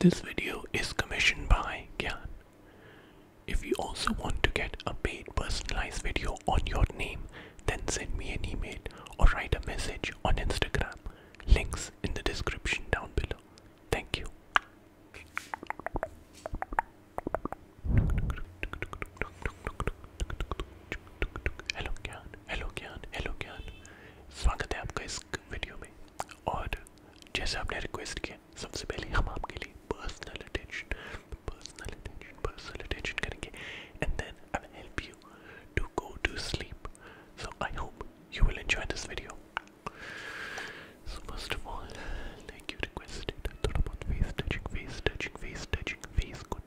This video is commissioned by Gyan. If you also want to get a paid personalized video on your name, then send me an email or write a message on Instagram links in the description down below. Thank you. Hello Gyan hello Gyan hello Gyan स्वागत है आपका इस video में और जैसे आपने request किया सबसे पहले हम आपके लिए personal attention personal attention personal attention करेंगे and then I will help you to go to sleep. So I hope you will enjoy this video. So first of all, like you requested, I thought about face touching, face touching, face touching, face content.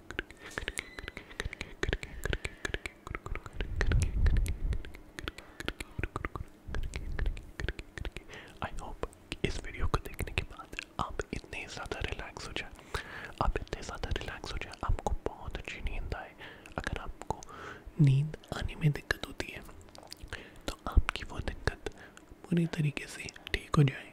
I hope इस video को देखने के बाद आप इतने ज़्यादा relax हो जाए आप इतने ज़्यादा रिलैक्स हो जाए आपको बहुत अच्छी नींद आए अगर आपको नींद आने में दिक्कत होती है तो आपकी वो दिक्कत पूरी तरीके से ठीक हो जाए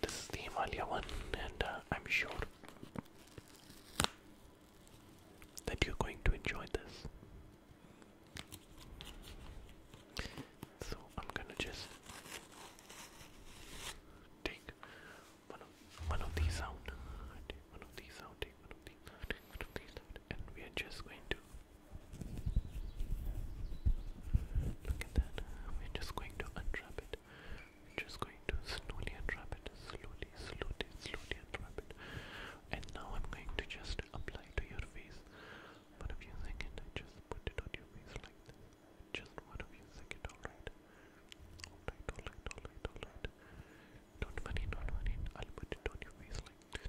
This is the Himalaya one, and uh, I'm sure that you're going to enjoy this. So I'm gonna just take one of one of these out. Take one of these out. Take one of these out. one of these out, and we are just going to Look at that. We're just going to unwrap it. We're just going to slowly unwrap it. Slowly, slowly, slowly unwrap it. And now I'm going to just apply to your face. But if you think it, just put it on your face like this. Just one of you second, alright? Alright, alright, alright, Don't worry, don't worry. I'll put it on your face like this.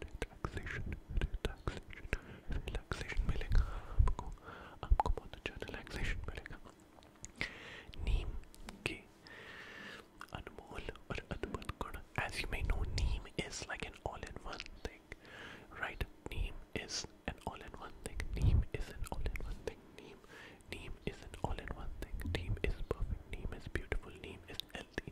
relaxation, relaxation, relaxation मिलेगा आपको, आपको बहुत अच्छा relaxation मिलेगा। नीम के अनमोल और अद्भुत गुण, as you may know, neem is like an all-in-one thing, right? Neem is an all-in-one thing. Neem is an all-in-one thing. Neem, neem is an all-in-one thing. Neem is perfect. Neem is beautiful. Neem is healthy.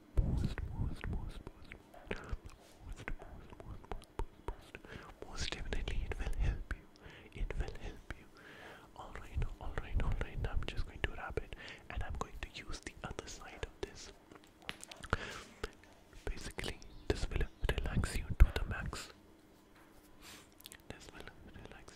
most, most, most, most, most, most, most, most, most, most definitely it will help you. It will help you. Alright, alright, alright. I'm just going to wrap it and I'm going to use the other side of this. Basically, this will relax you to the max. This will relax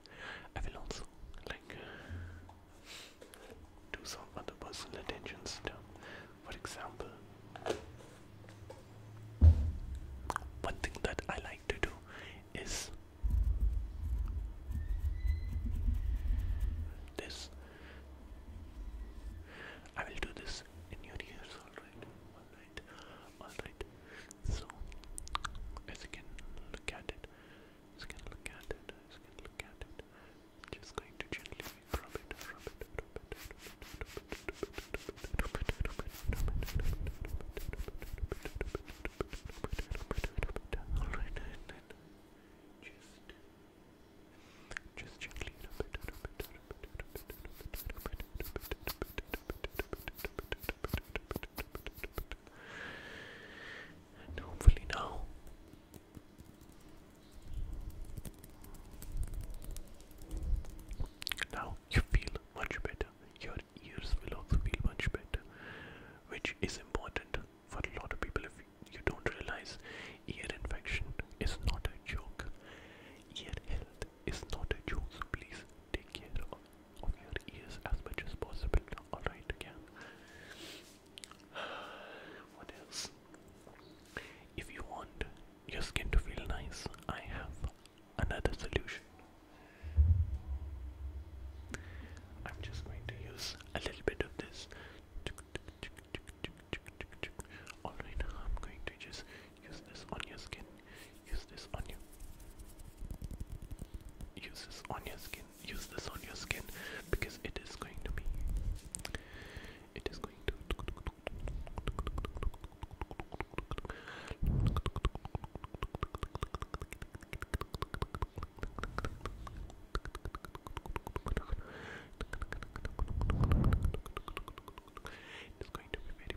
I will also like uh, do some other personal attention For example, one thing that I like to do is this. I will do this in your ears, alright? Alright, alright. So, as you can look at it, just gonna look at it. Just gonna look at it. just going to gently rub it, rub it, rub it, rub it, Alright, then just, just gently and hopefully now. Now you feel much better. Your ears will also feel much better, which is important for a lot of people. If you don't realize, ear infection is not a joke. Ear health is not a joke. So please take care of your ears as much as possible. Alright, again. What else? If you want your skin to feel nice, I have another solution. I'm just going to use a little bit of this. Alright, I'm going to just use this on your skin Use this on you. Use this on your skin. Use this on your skin because it is going to be. It's going to be very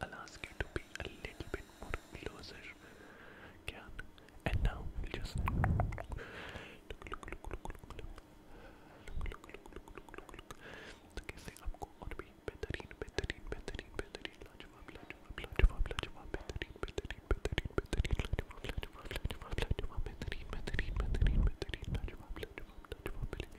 I'll ask you to be a little bit more closer, can? And now we'll just look, look, look, look, look, look, look, look, look, look, look, look. तो कैसे आपको और भी बेहतरीन, बेहतरीन, बेहतरीन, बेहतरीन, लाजवाब, लाजवाब, लाजवाब, लाजवाब, बेहतरीन, बेहतरीन, बेहतरीन, बेहतरीन, लाजवाब, लाजवाब, लाजवाब, लाजवाब, बेहतरीन, बेहतरीन, बेहतरीन, बेहतरीन, लाजवाब, लाजवाब, लाजवाब,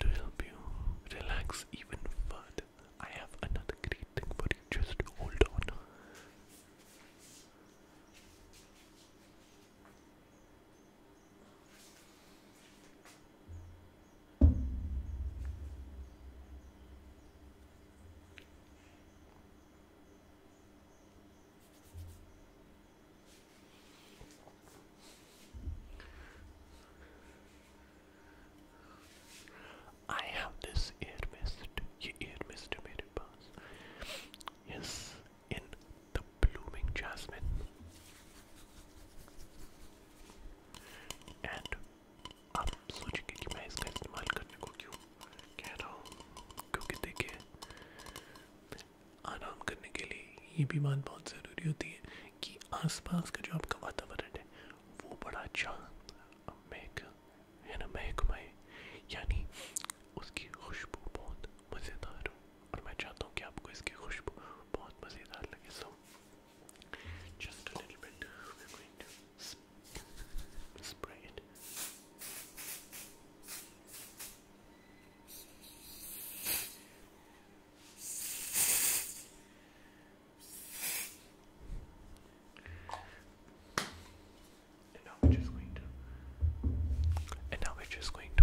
to help you relax even further. I have another great thing for you. Just hold on. I have this air mist, air mist made buzz. Yes, in the blooming jasmine. And आप सोचेंगे कि मैं इसका इस्तेमाल करने को क्यों कह रहा हूँ क्योंकि देखिए आराम करने के लिए ये भी बात बहुत ज़रूरी होती है कि आसपास का जो आपका वातावरण है वो बड़ा अच्छा महक है ना महकमाए यानी उसकी खुशबू बहुत मज़ेदार हो और मैं चाहता हूँ कि आपको इसकी खुशबू बहुत मज़ेदार लगे so just a little bit we going to spray it. And now we're just going to. And now we're just going to.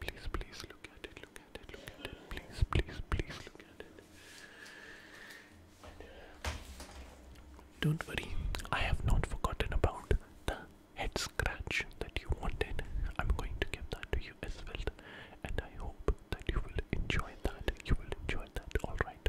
Please, please look at it, look at it, look at it. Please, please, please look at it. Don't worry, I have not forgotten about the head scratch that you wanted. I'm going to give that to you as well, and I hope that you will enjoy that. You will enjoy that, alright.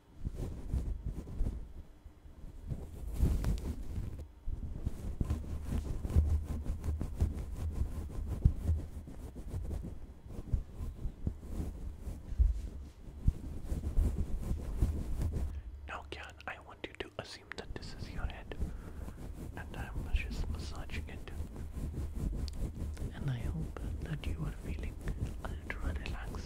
Now, Jan, I want you to assume that this is your head, and I'm just massaging it. And I hope that you are feeling a little relaxed.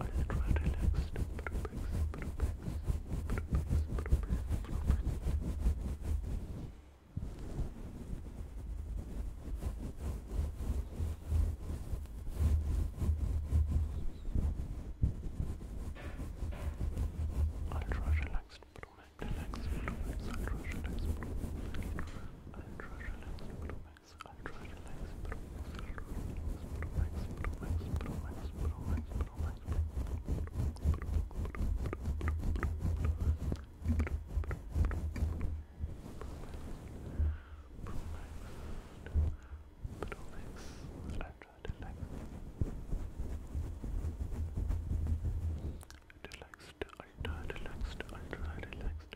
Are you quite relaxed? Ultra relaxed, relaxed, relaxed, ultra relaxed, ultra relaxed, Max, Ultra Relax, Pro Max, Ultra Relax, Pro Max, Pro Max, Pro Max, Pro Max, Pro Max, Pro Max, Ultra Relax relaxed, ultra relaxed, relaxed,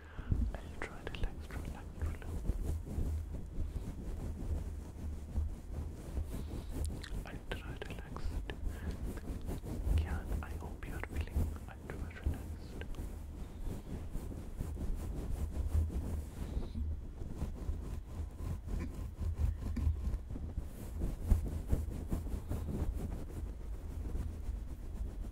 ultra relaxed, relaxed, relaxed. I hope you relaxed? Ultra relaxed, ultra relaxed, ultra relaxed, ultra relaxed, ultra relaxed, ultra relaxed, ultra relaxed, ultra relaxed, ultra relaxed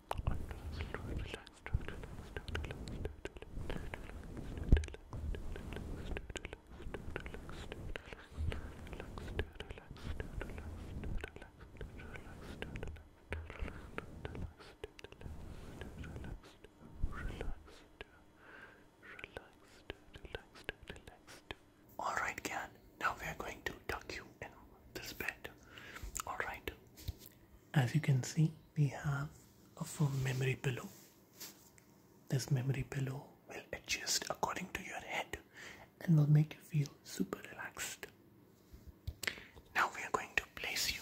Alright, Gan, now we are going to tuck you in this bed. Alright, as you can see, we have a firm memory pillow. This memory pillow will adjust according to your head and will make you feel super relaxed. Now we are going to place you.